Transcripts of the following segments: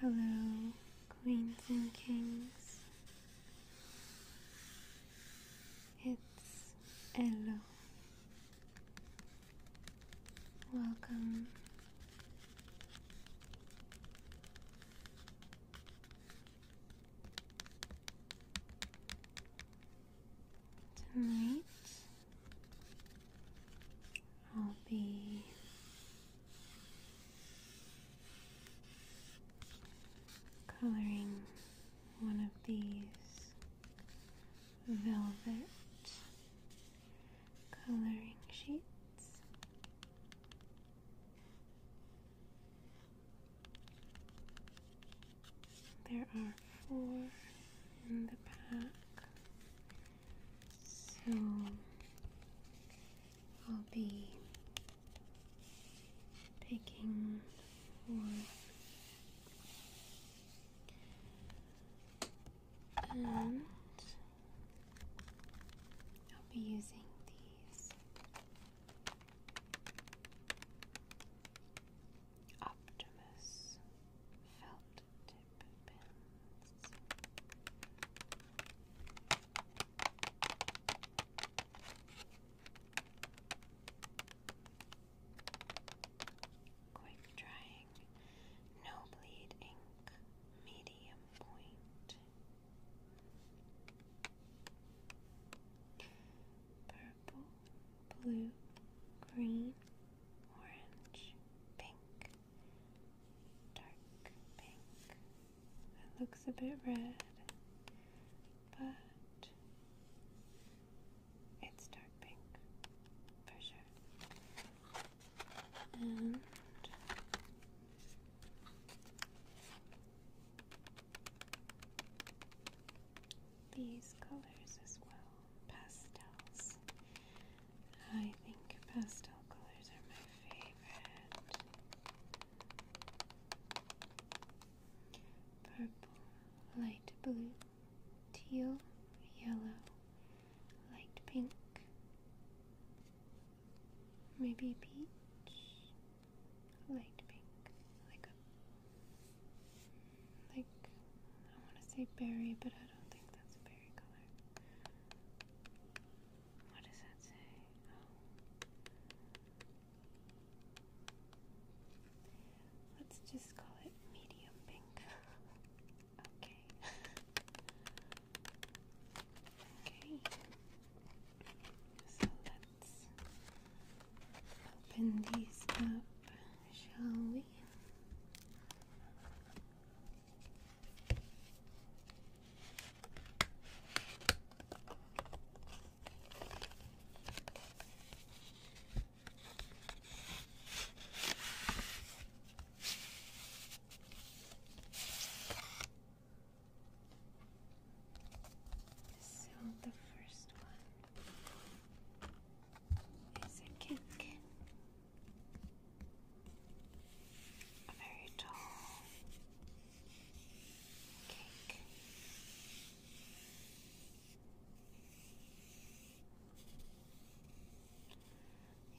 Hello, Queens and Kings. It's hello. Welcome. Tonight I'll be coloring one of these velvet coloring sheets. There are four in the pack, so I'll be picking one. And I'll be using these Optimus felt tip pins. Quick drying, no bleed ink, medium point. Purple, blue, green, orange, pink, dark pink. That looks a bit red, but it's dark pink for sure. And these colors as well, pastels. I think pastel colors are my favorite. Purple, light blue, teal, yellow, light pink, maybe peach, light pink, like a like I want to say berry, but I don't think that's a berry color. What does that say? Oh. Let's just call it medium pink. Okay. okay. So let's open these up, shall we? So the first one is a cake, a very tall cake.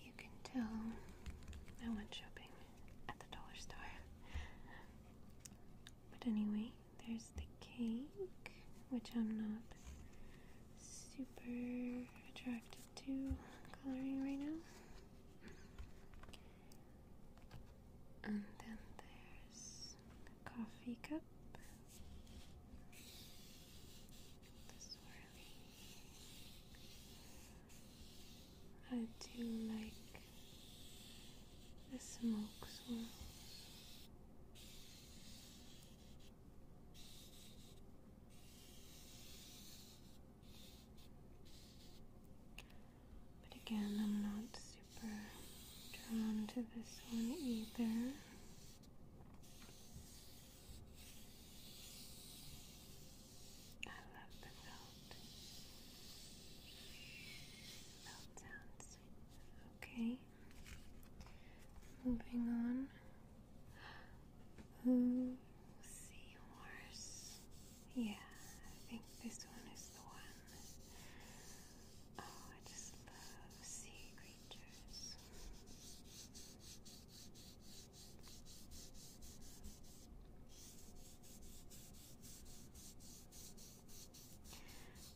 You can tell I went shopping at the dollar store. But anyway, there's the cake, which I'm not super attracted to coloring right now. And then there's the coffee cup I do like the smoke swirl, But again, I'm not super drawn to this one either. I love the melt. Melt sounds. Okay. Moving on. Ooh, seahorse. Yeah, I think this one is the one. Oh, I just love sea creatures.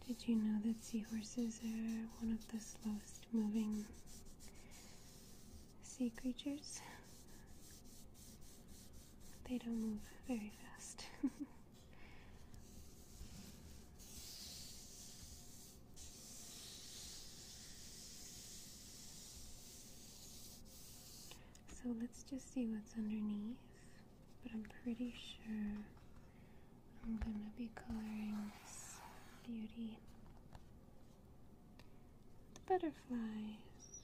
Did you know that seahorses are one of the slowest moving sea creatures? They don't move very fast. So let's just see what's underneath. But I'm pretty sure I'm gonna be coloring this beauty. The butterflies,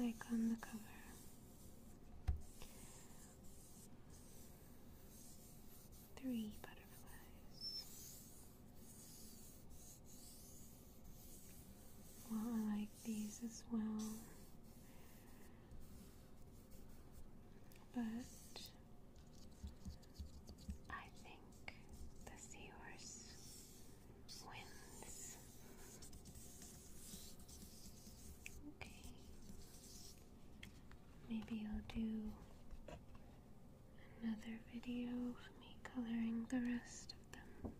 like on the cover. Three butterflies. Well, I like these as well. But I think the seahorse wins. Okay. Maybe I'll do another video of me coloring the rest of them.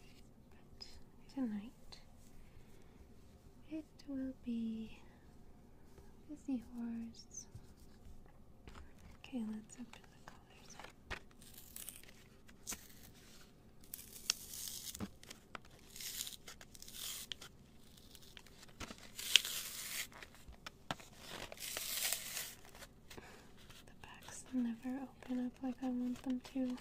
But tonight it will be the seahorse. Okay, let's open the colors. The packs never open up like I want them to. There we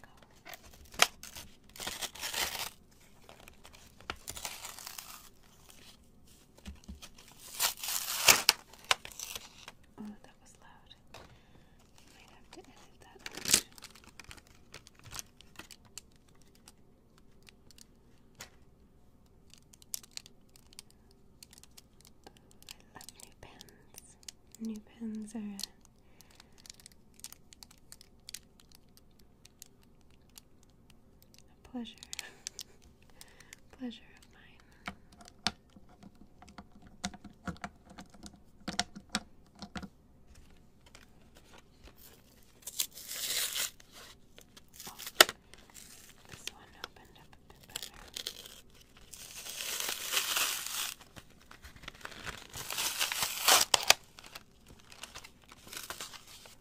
go. Oh, that was loud. might have to edit that out. I love new pens. New pens are a pleasure, pleasure of mine. this one opened up a bit better.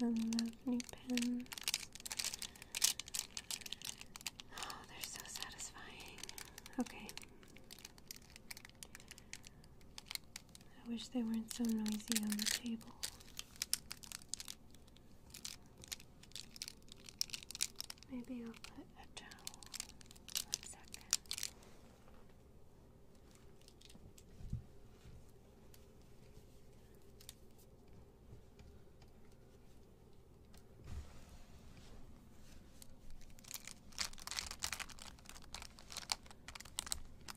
and lovely pins. Oh, they're so satisfying. Okay. I wish they weren't so noisy on the table. Maybe I'll put a towel. One second.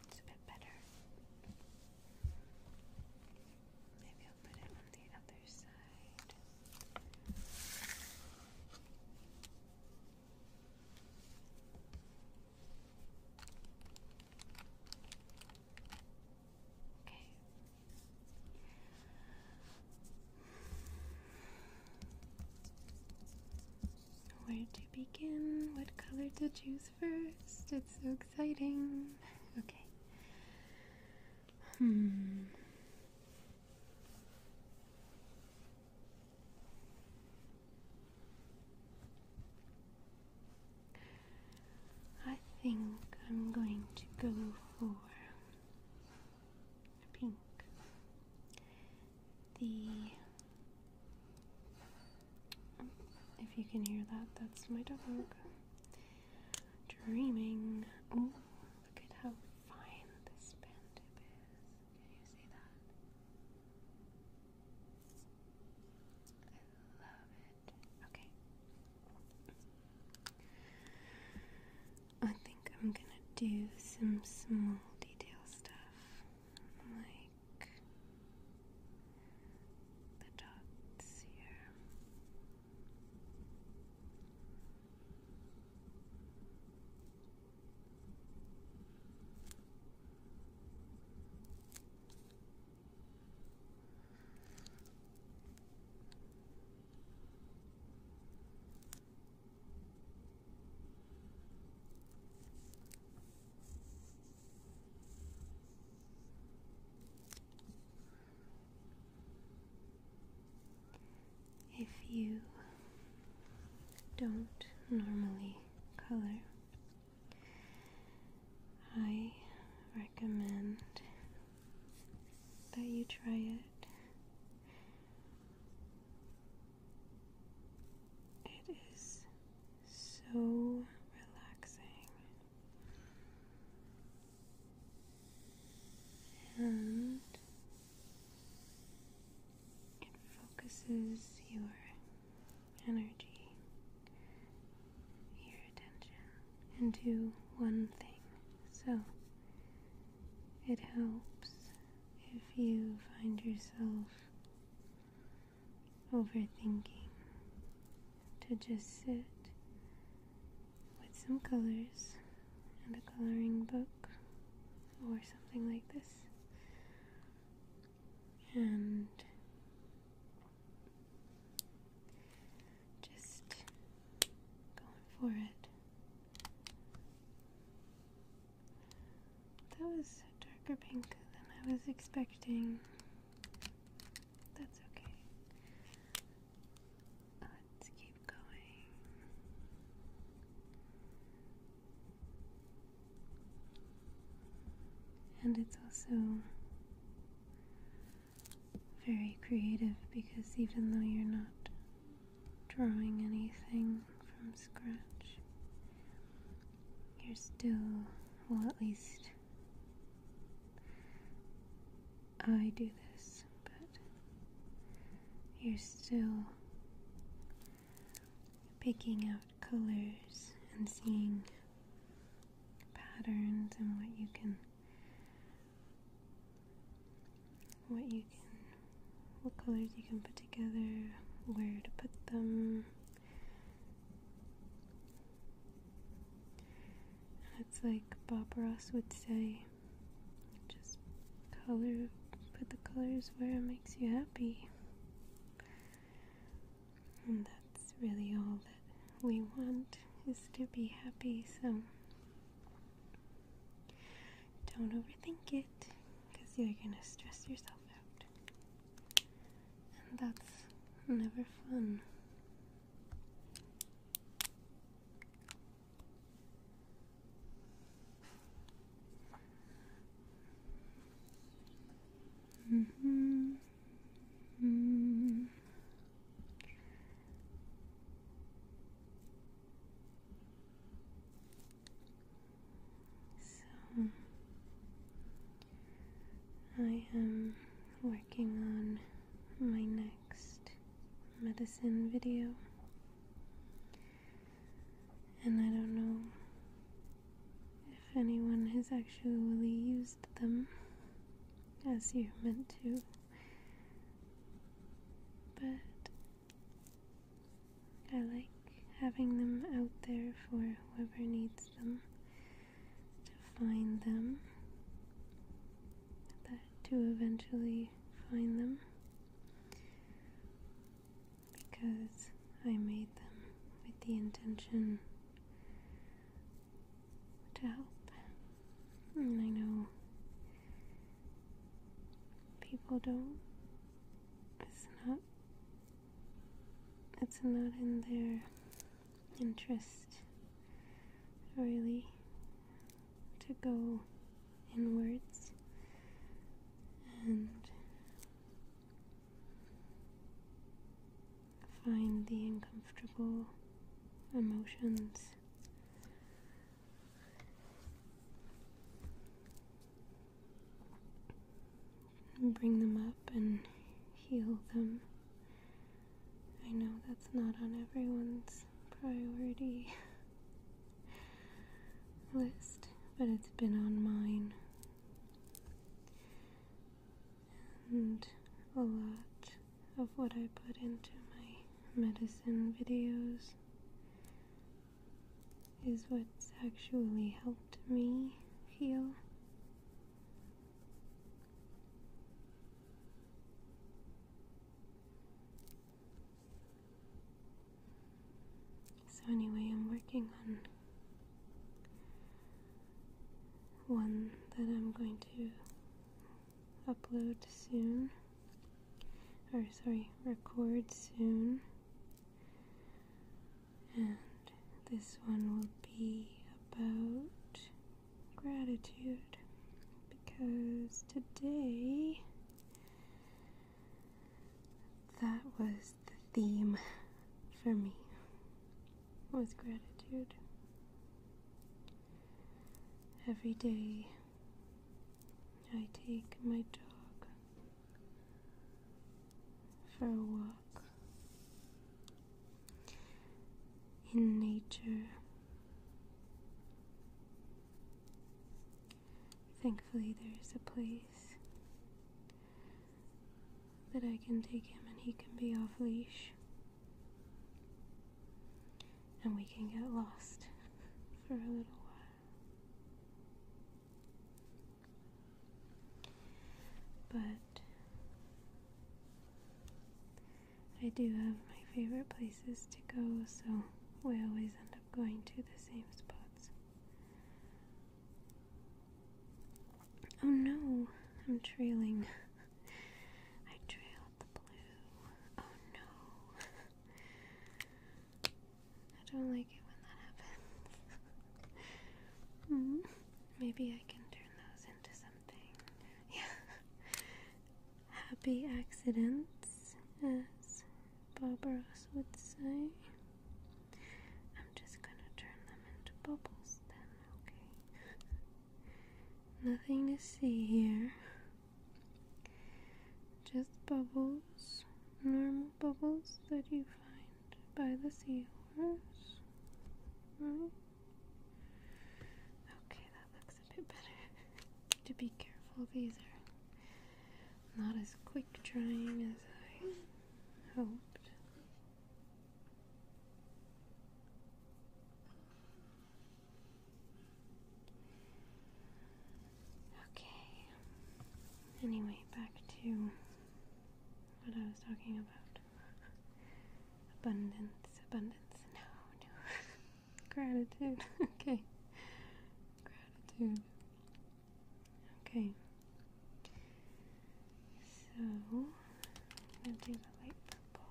It's a bit better. Maybe I'll put it on the other side. Where to begin? What color to choose first? It's so exciting. Okay. Hmm. I think I'm going to go for pink. The um, if you can hear that, that's my dog dreaming. Oh, look at how fine this bandip is. Can you see that? I love it. Okay. I think I'm gonna do some small detail stuff, like the dots here. If you don't normally color, I recommend that you try it. It is so relaxing. And it focuses your energy, your attention into one thing. So it helps if you find yourself overthinking to just sit with some colors and a coloring book or something like this and just going for it. That was darker pink than I was expecting. That's okay. Let's keep going. And it's also very creative because even though you're not drawing anything from scratch, you're still, well, at least I do this, but you're still picking out colors and seeing patterns and what you can what you can what colors you can put together, where to put them. And it's like Bob Ross would say, just color put the colors where it makes you happy. And that's really all that we want is to be happy. So don't overthink it because you're going to stress yourself out. And that's never fun. Mm-hmm. Mm. So I am working on my next medicine video, and I don't know if anyone has actually used them as you meant to, but I like having them out there for whoever needs them to find them, that to eventually find them because I made them with the intention to help. And hmm, I know people don't, it's not, it's not in their interest really to go inwards and find the uncomfortable emotions. And bring them up and heal them. I know that's not on everyone's priority list, but it's been on mine and a lot of what I put into my medicine videos is what's actually helped me heal. So, anyway, I'm working on one that I'm going to upload soon, or sorry, record soon, and this one will be about gratitude because today that was the theme for me with gratitude. Every day I take my dog for a walk in nature. Thankfully, there's a place that I can take him and he can be off leash. And we can get lost for a little while. But I do have my favorite places to go, so we always end up going to the same spots. Oh no, I'm trailing. I trail the blue. Oh no. I don't like it when that happens. Hmm. maybe I can turn those into something. Yeah. Happy accidents, as Barbaros would say. I'm just gonna turn them into bubbles then, okay? Nothing to see here. Just bubbles, normal bubbles that you find by the seahorse. Right? Okay, that looks a bit better. to be careful, these are not as quick drying as I hoped. Okay. Anyway, back to what I was talking about. Abundance, abundance. No, no. Gratitude. okay. Gratitude. Okay. So I'm gonna do the light purple.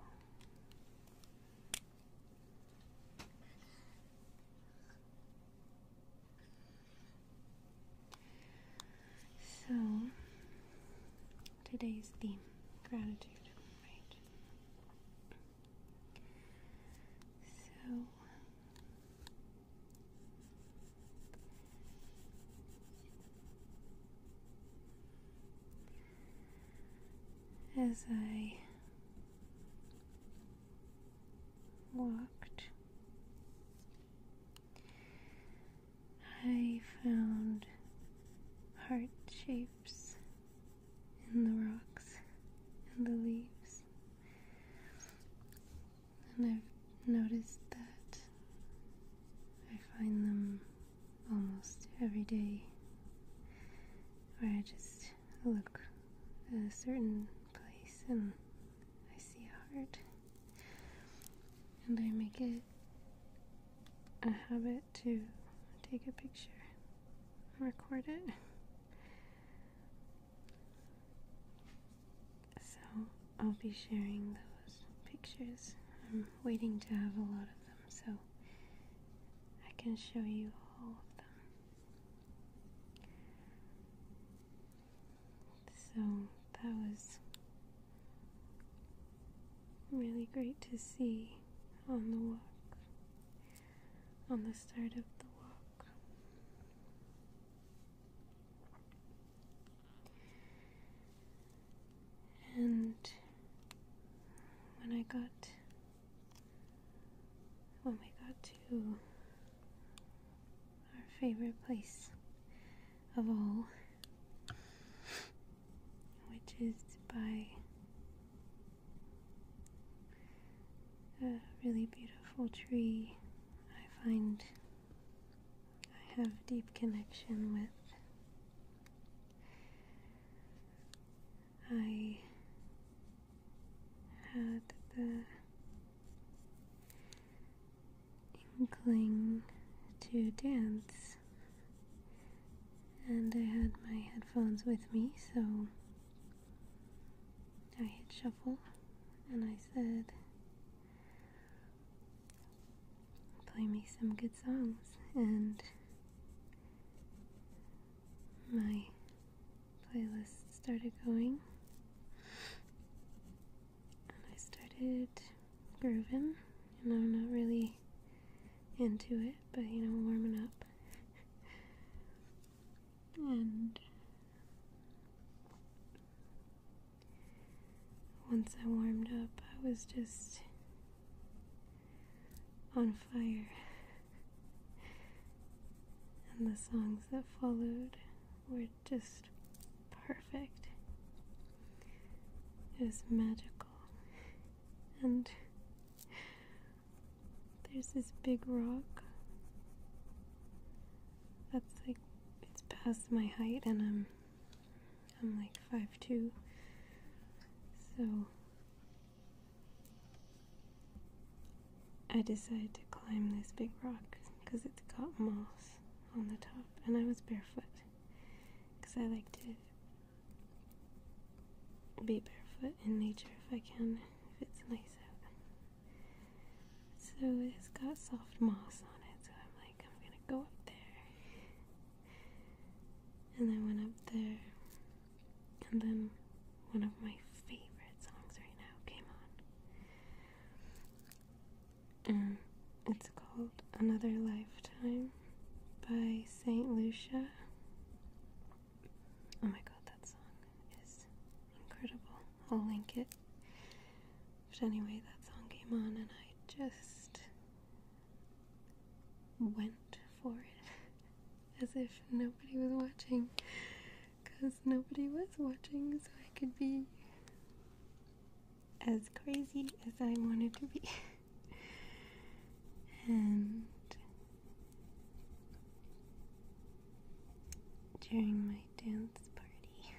So today's theme, gratitude, right? So as I walked, I found heart shapes in the rocks and the leaves, and I've noticed that I find them almost every day where I just look at a certain place and I see a heart and I make it a habit to take a picture record it. So I'll be sharing those pictures. I'm waiting to have a lot of them so I can show you all of them. So that was really great to see on the walk, on the start of the walk. And when I got when we got to our favorite place of all, which is by a really beautiful tree, I find I have a deep connection with I had the inkling to dance, and I had my headphones with me, so I hit shuffle and I said, play me some good songs and my playlist started going and I started grooving and I'm not really into it but you know warming up and once I warmed up I was just on fire. And the songs that followed were just perfect. It was magical. And there's this big rock that's like, it's past my height, and I'm I'm like five two, so I decided to climb this big rock because it's got moss on the top, and I was barefoot because I like to be barefoot in nature if I can, if it's nice out. So it's got soft moss on it, so I'm like, I'm gonna go up there and I went up there, and then one of my favorite songs right now came on. And it's called Another Lifetime by St. Lucia. Oh my god, that song is incredible. I'll link it. But anyway, that song came on, and I just went for it as if nobody was watching. Because nobody was watching, so I could be as crazy as I wanted to be. and during my dance party,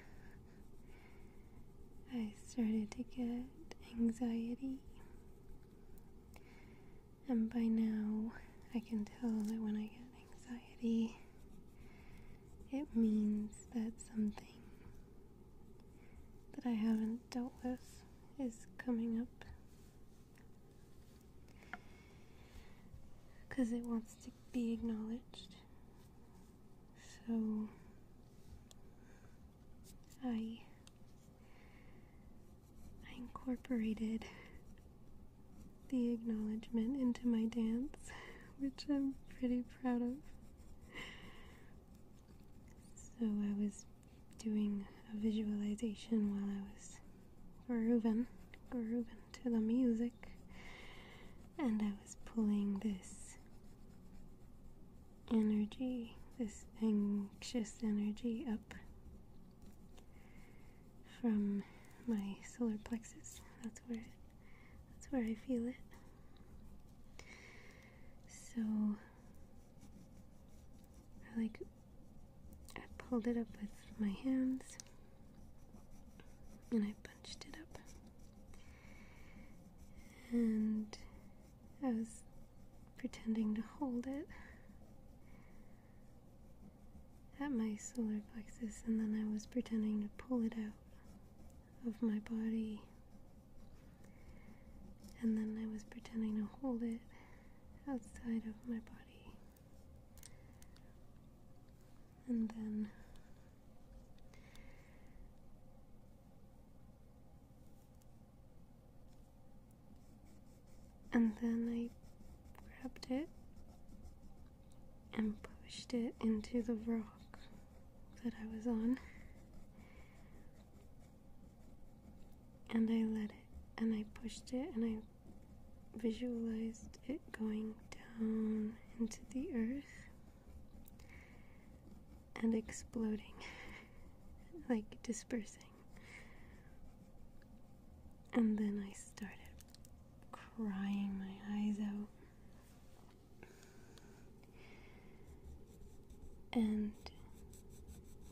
I started to get anxiety and by now, I can tell that when I get anxiety, it means that something that I haven't dealt with is coming up. Because it wants to be acknowledged. So I I incorporated the acknowledgement into my dance, which I'm pretty proud of. So I was doing a visualization while I was grooving, grooving to the music, and I was pulling this energy, this anxious energy, up from my solar plexus. That's where that's where I feel it. So I like I pulled it up with my hands and I punched it up. And that was pretending to hold it at my solar plexus, and then I was pretending to pull it out of my body, and then I was pretending to hold it outside of my body, and then. And then I grabbed it and pushed it into the rock that I was on. And I let it, and I pushed it, and I visualized it going down into the earth and exploding, like dispersing. And then I started crying my eyes out. And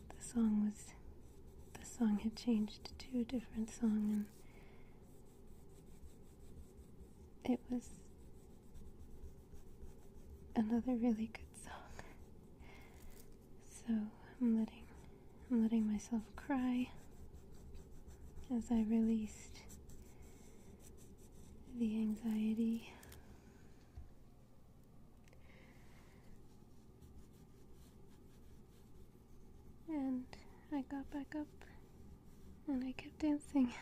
the song was, the song had changed to a different song, and it was another really good song. So I'm letting I'm letting myself cry as I released the anxiety. And I got back up and I kept dancing.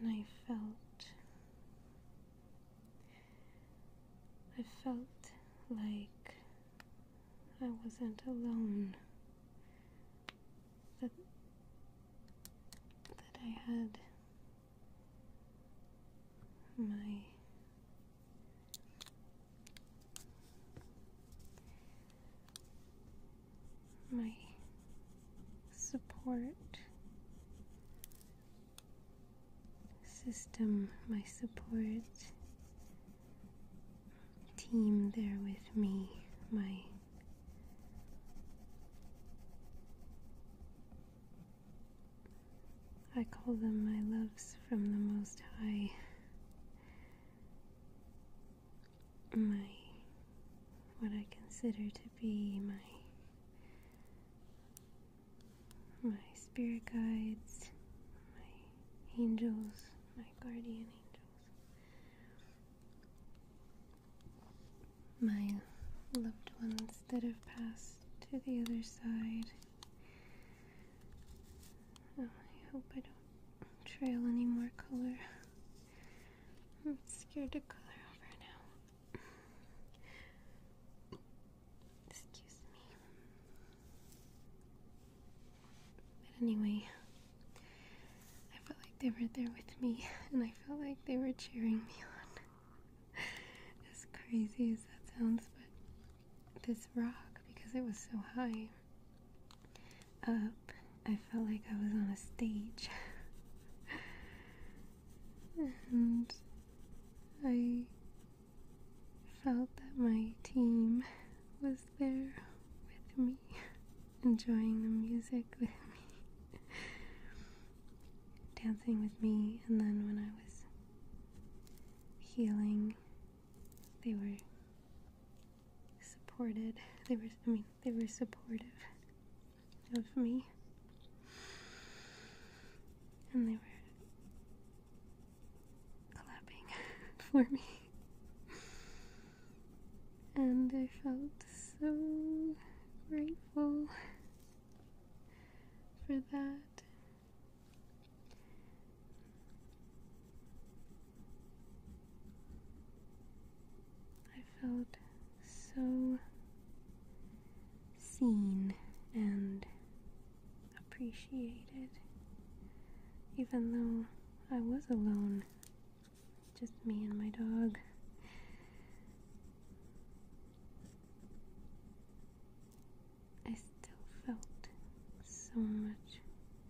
And I felt, I felt like I wasn't alone, that, that I had my my support system, my support team there with me, my I call them my loves from the Most High my what I consider to be my my spirit guides, my angels, my guardian angels, my loved ones that have passed to the other side. I hope I don't trail any more color. I'm scared to color over now. Excuse me. But anyway, I felt like they were there with me, and I felt like they were cheering me on. as crazy as that sounds, but this rock because it was so high up. I felt like I was on a stage. and I felt that my team was there with me, enjoying the music with me, dancing with me, and then when I was healing they were supported. They were, I mean, they were supportive of me. And they were clapping for me. And I felt so grateful for that. I felt so seen and appreciated, even though I was alone, just me and my dog. I still felt so much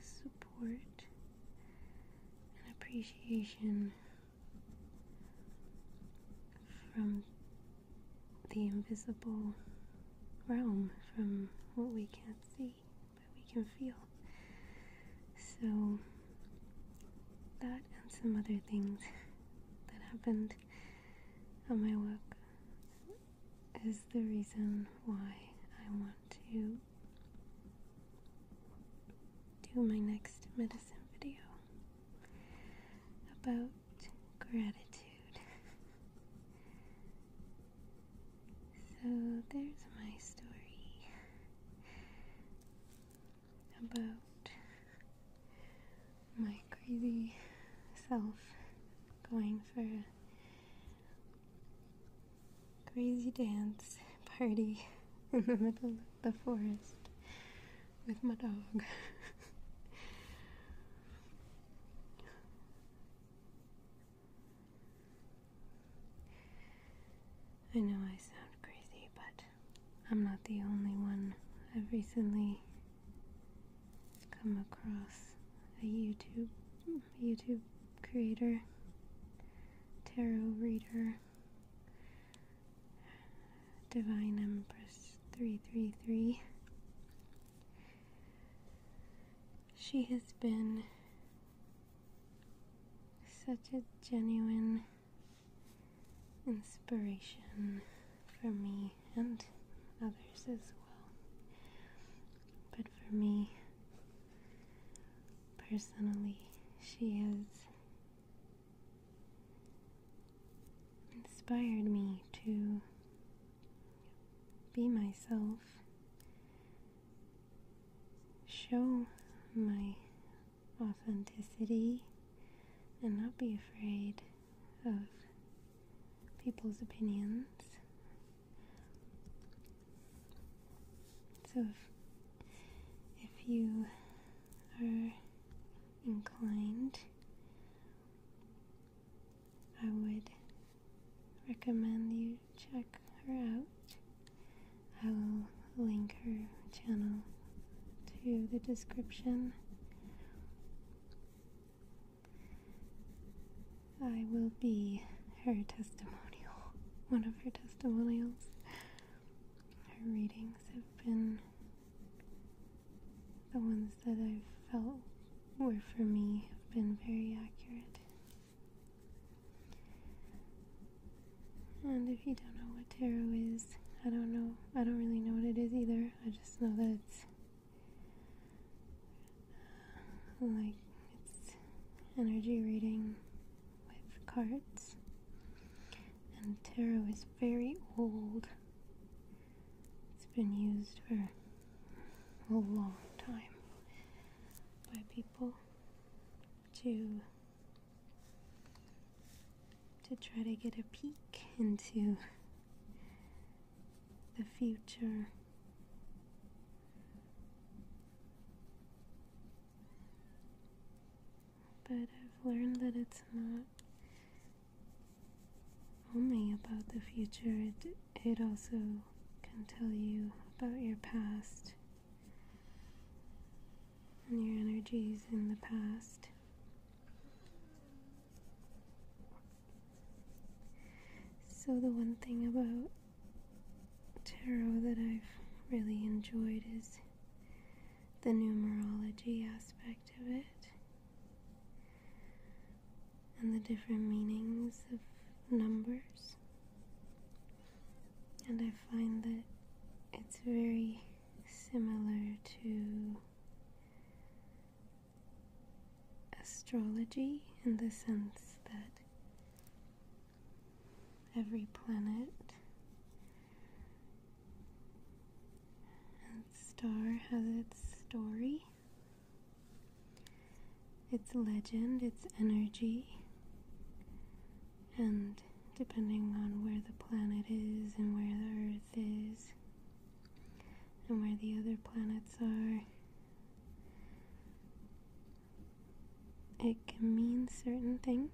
support support and appreciation from the invisible realm, from what we can't see but we can feel. So, that and some other things that happened on my work is the reason why I want to do my next medicine video about gratitude. so there's my story about my crazy self going for crazy dance party in the middle of the forest with my dog. I know I sound crazy, but I'm not the only one. I've recently come across a YouTube YouTube creator, tarot reader, divine empress 333. She has been such a genuine inspiration for me and others as well. But for me, Personally, she has inspired me to be myself, show my authenticity, and not be afraid of people's opinions so if, you are inclined, I would recommend you check her out. I will link her channel to the description. I will be her testimonial, one of her testimonials. Her readings have been the ones that I've felt were for me have been very accurate. And if you don't know what tarot is, I don't know. I don't really know what it is either. I just know that it's like it's energy reading with cards. And tarot is very old. It's been used for a long time by people to to try to get a peek into the future but I've learned that it's not only about the future, it, it also can tell you about your past and your energies in the past. So, the one thing about tarot that I've really enjoyed is the numerology aspect of it and the different meanings of numbers. And I find that it's very similar to astrology in the sense that every planet and star has its story, its legend, its energy, and depending on where the planet is and where the Earth is and where the other planets are it can mean certain things.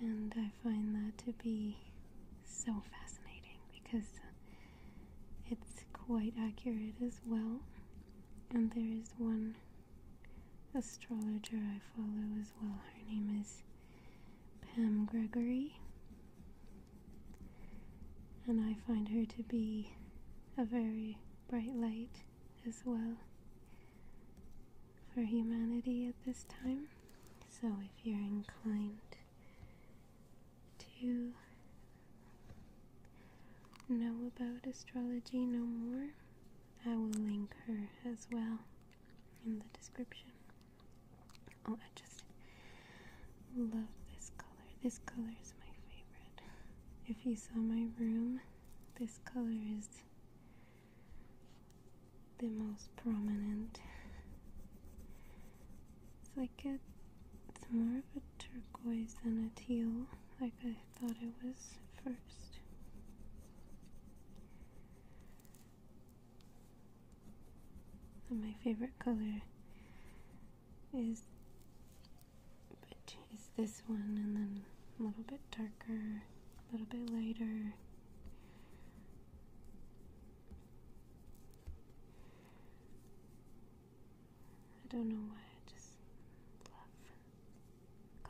And I find that to be so fascinating because it's quite accurate as well. And there is one astrologer I follow as well. Her name is Pam Gregory, and I find her to be a very bright light as well for humanity at this time. So if you're inclined to know about astrology no more, I will link her as well in the description. Oh, love this color. This color is my favorite. If you saw my room, this color is the most prominent. It's like a, it's more of a turquoise than a teal, like I thought it was first. my favorite color is which is this one and then a little bit darker, a little bit lighter. I don't know why I just love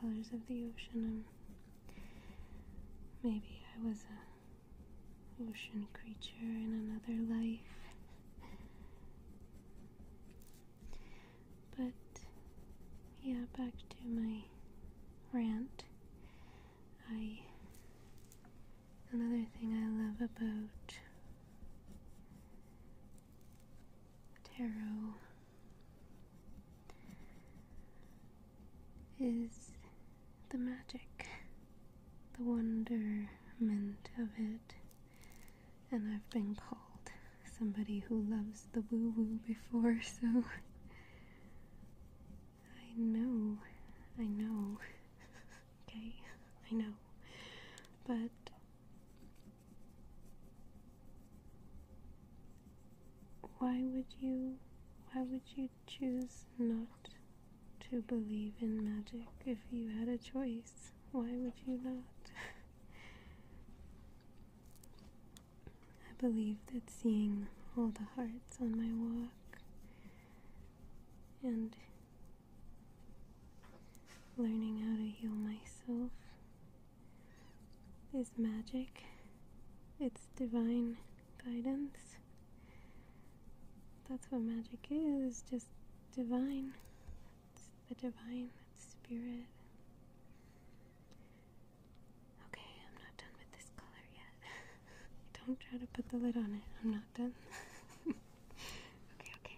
colors of the ocean. Um, maybe I was a ocean creature in another life. But yeah, back to my rant. I another thing I love about tarot is the magic, the wonderment of it and I've been called somebody who loves the woo woo before, so I know, I know, okay, I know, but. Why would you why would you choose not to believe in magic if you had a choice. Why would you not? I believe that seeing all the hearts on my walk and learning how to heal myself is magic. It's divine guidance. That's what magic is, just divine. the divine, spirit. Okay, I'm not done with this color yet. Don't try to put the lid on it. I'm not done. okay, okay.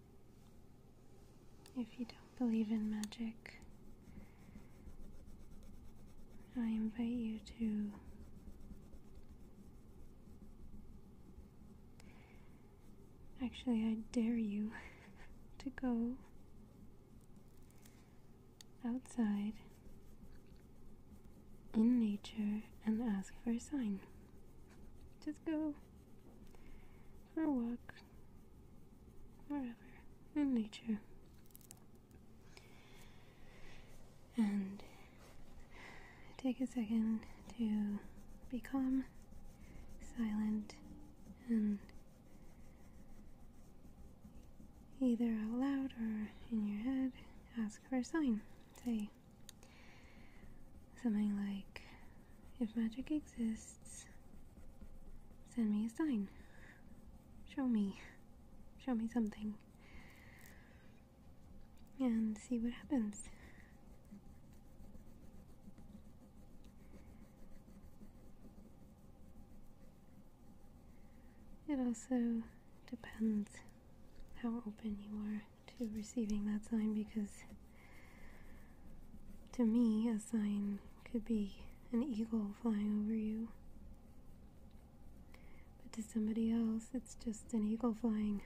if you don't believe in magic, I invite you to Actually, I dare you to go outside in nature and ask for a sign. Just go for a walk wherever in nature. And take a second to be calm, silent, and either out loud or in your head ask for a sign. Say something like, if magic exists, send me a sign. Show me. Show me something. And see what happens. It also depends how open you are to receiving that sign because to me, a sign could be an eagle flying over you. But to somebody else, it's just an eagle flying.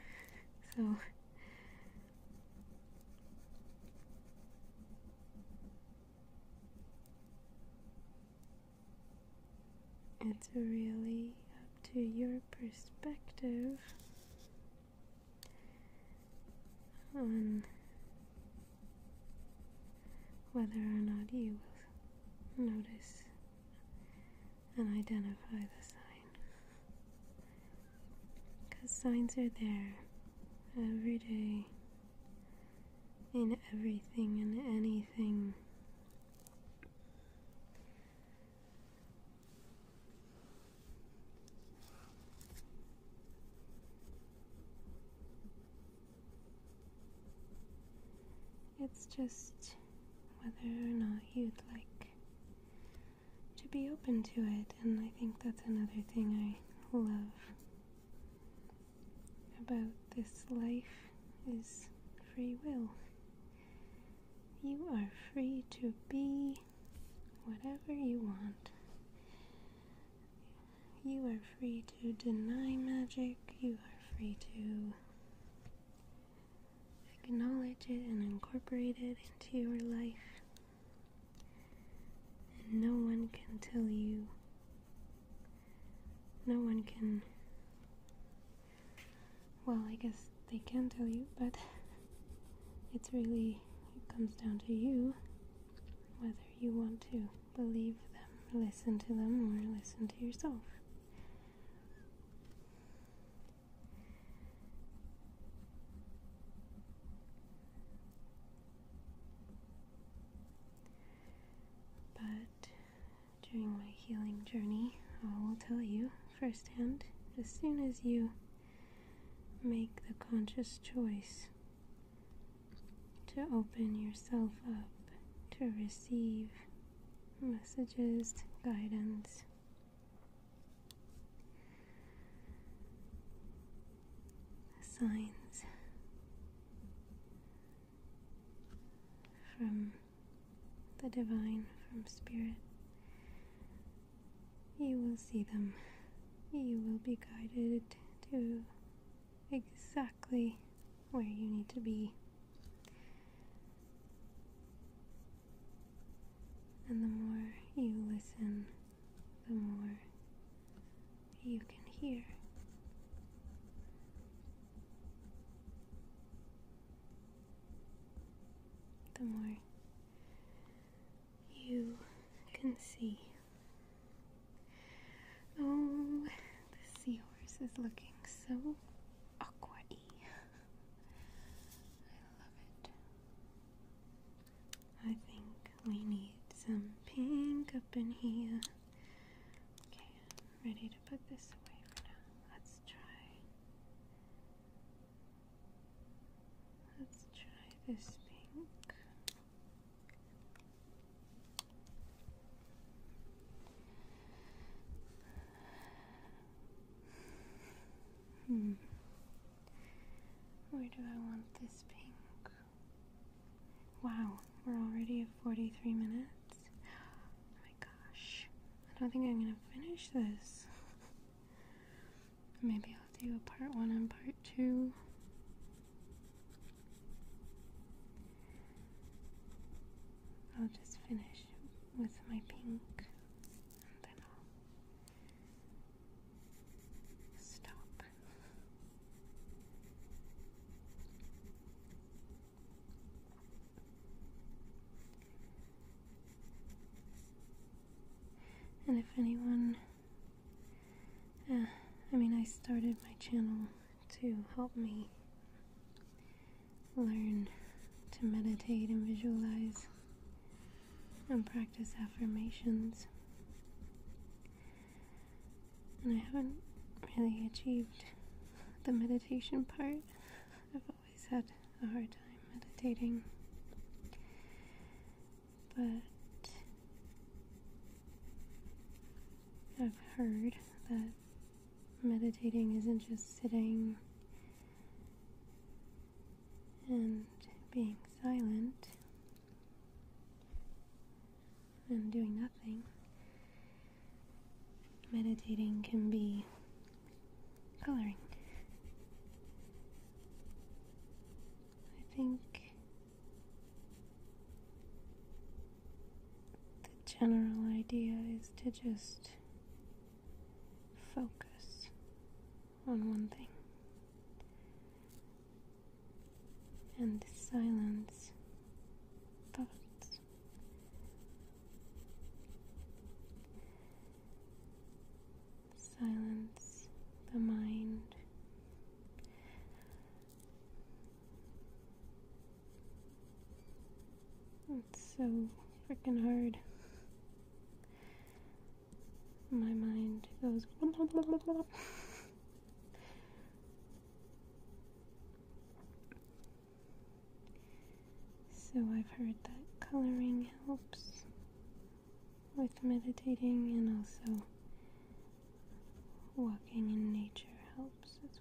So. It's really up to your perspective on whether or not you will notice and identify the sign. Because signs are there every day in everything and anything. It's just whether or not you'd like to be open to it, and I think that's another thing I love about this life is free will. You are free to be whatever you want. You are free to deny magic, you are free to acknowledge it and incorporate it into your life. And no one can tell you, no one can, well, I guess they can tell you, but it's really, it comes down to you whether you want to believe them, listen to them, or listen to yourself. But during my healing journey, I will tell you firsthand as soon as you make the conscious choice to open yourself up to receive messages, guidance. Signs from the divine, from spirit, you will see them. You will be guided to exactly where you need to be. And the more you listen, the more you can hear. The more you can see. Oh, the seahorse is looking so aqua y. I love it. I think we need some pink up in here. Okay, ready to put this away for now. Let's try. Let's try this pink. Hmm. Where do I want this pink? Wow, we're already at 43 minutes. Oh my gosh. I don't think I'm gonna finish this. Maybe I'll do a part one and part two. I'll just finish with my pink and then I'll stop. And if anyone uh, I mean, I started my channel to help me learn to meditate and visualize and practice affirmations. And I haven't really achieved the meditation part. I've always had a hard time meditating but I've heard that meditating isn't just sitting and being silent and doing nothing. Meditating can be coloring. I think the general idea is to just focus on one thing. And silence thoughts silence the mind. It's so freaking hard. My mind goes. Blah, blah, blah, so I've heard that coloring helps with meditating and also walking in nature helps as well.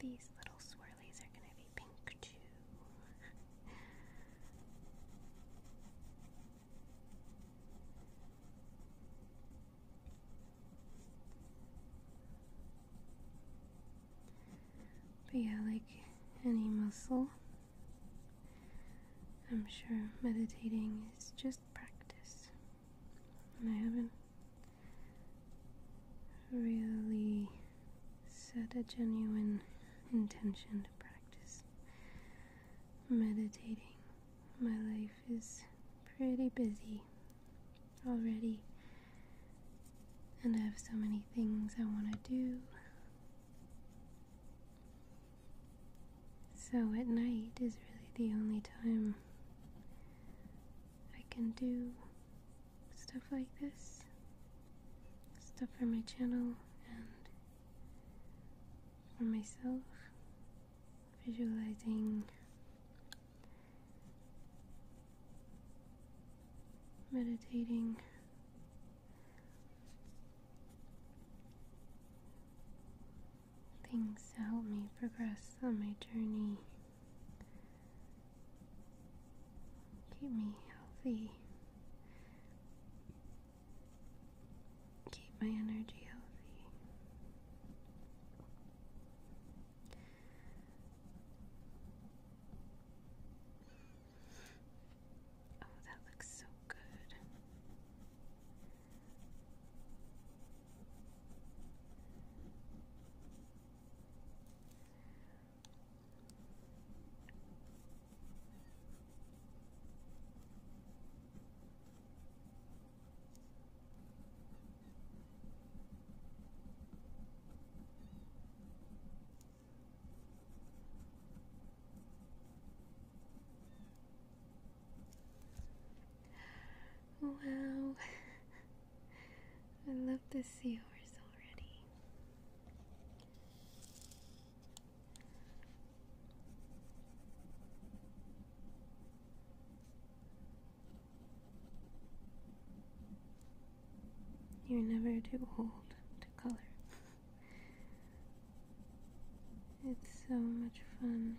These little swirlies are going to be pink too. But yeah, like any muscle, I'm sure meditating is just practice. And I haven't really set a genuine intention to practice meditating. My life is pretty busy already, and I have so many things I want to do. So, at night is really the only time I can do stuff like this, stuff for my channel, and for myself, visualizing meditating things to help me progress on my journey, keep me healthy, keep my energy healthy. Oh, that looks so good. Wow, I love this seahorse already. You're never too old to color. it's so much fun.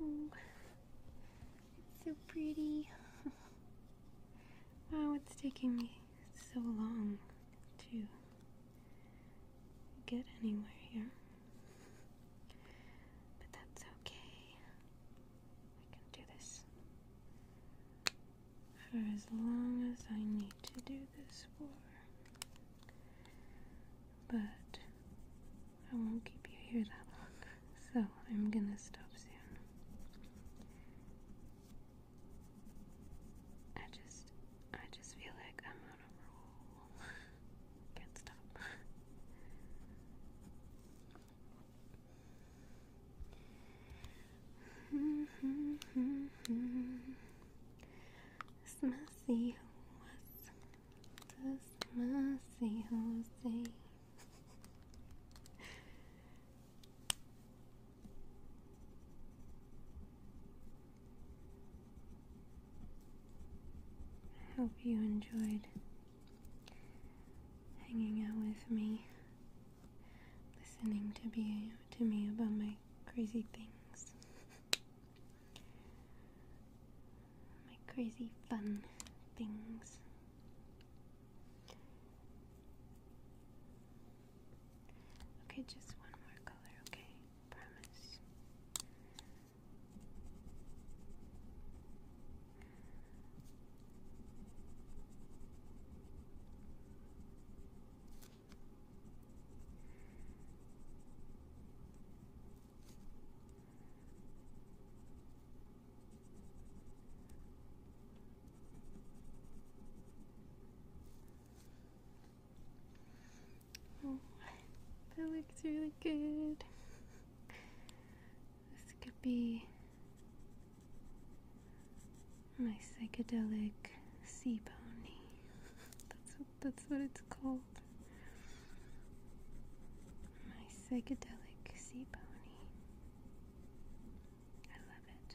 Oh, it's so pretty. wow, oh, it's taking me it's so long to get anywhere here. But that's okay. I can do this for as long as I need to do this for. But I won't keep you here that long, so I'm gonna stop soon. I just, I just feel like I'm on a roll. Can't stop. Smassy horse, the smassy horse. I hope you enjoyed hanging out with me, listening to be to me about my crazy things, my crazy fun things. Okay, just one more color, okay? Promise. Oh, that looks really good. This could be my psychedelic sea pony. That's what, that's what it's called. My psychedelic sea pony. I love it.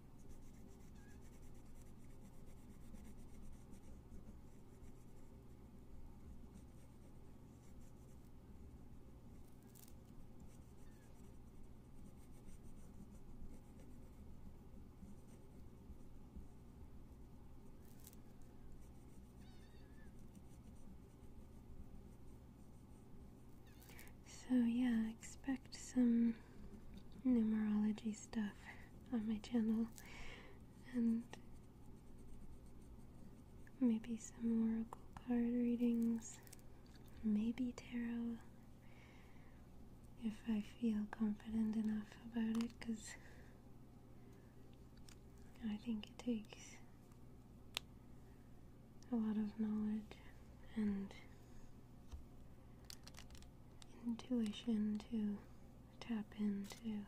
So, yeah, expect some numerology stuff on my channel and maybe some oracle card readings, maybe tarot if I feel confident enough about it because I think it takes a lot of knowledge and intuition to tap into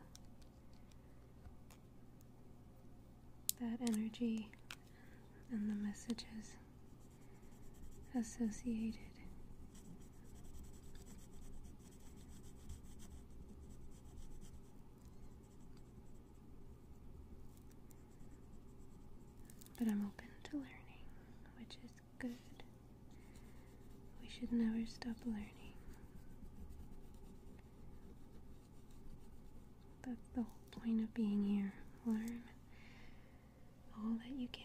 that energy and the messages associated. But I'm open to learning, which is good. We should never stop learning. That's the whole point of being here. Learn all that you can.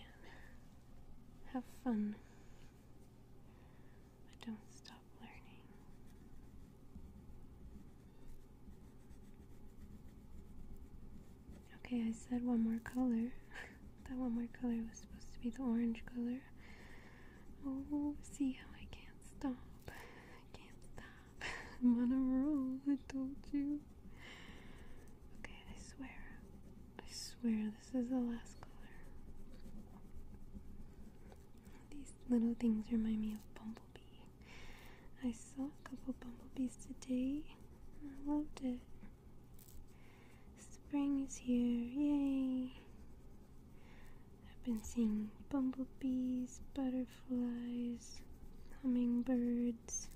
Have fun. But don't stop learning. Okay, I said one more color. That one more color was supposed to be the orange color. Oh, see how I can't stop. I can't stop. I'm on a roll, I told you. Okay, I swear. I swear this is the last color. These little things remind me of Bumblebee. I saw a couple bumblebees today. I loved it. Spring is here, yay! I've been seeing bumblebees, butterflies, hummingbirds.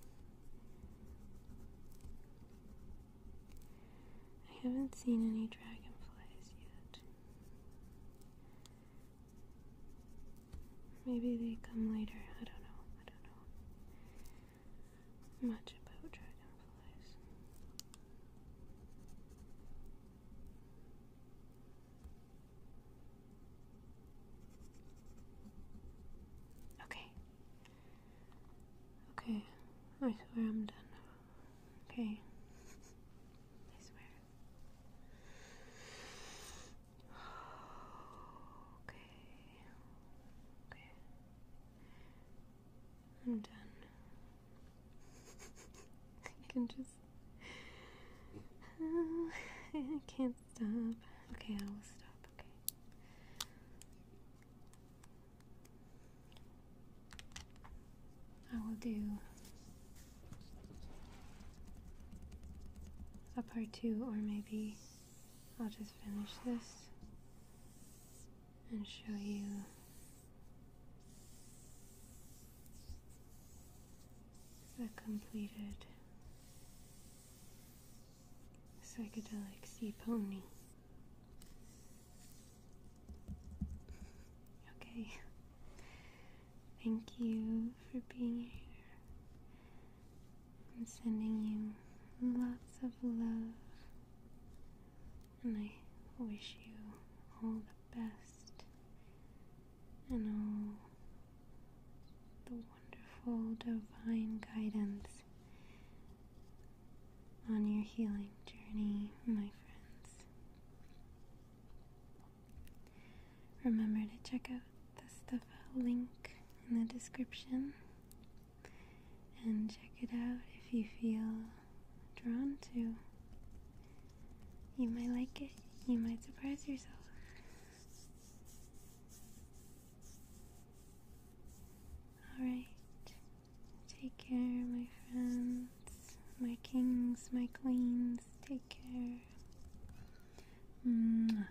I haven't seen any dragonflies yet. Maybe they come later, I don't know, I don't know much about dragonflies. Okay. Okay. I swear I'm done. Okay. I swear. Okay. Okay. I'm done. I can just. Uh, I can't stop. Okay, I will stop. Okay. I will do a part two, or maybe I'll just finish this and show you the completed psychedelic sea pony. Okay. Thank you for being here. I'm sending you lots of love and I wish you all the best and all the wonderful divine guidance on your healing journey, my friends. Remember to check out the Stuff link in the description and check it out if you feel drawn to. You might like it, you might surprise yourself. Alright, take care, my friends, my kings, my queens, take care. Mwah.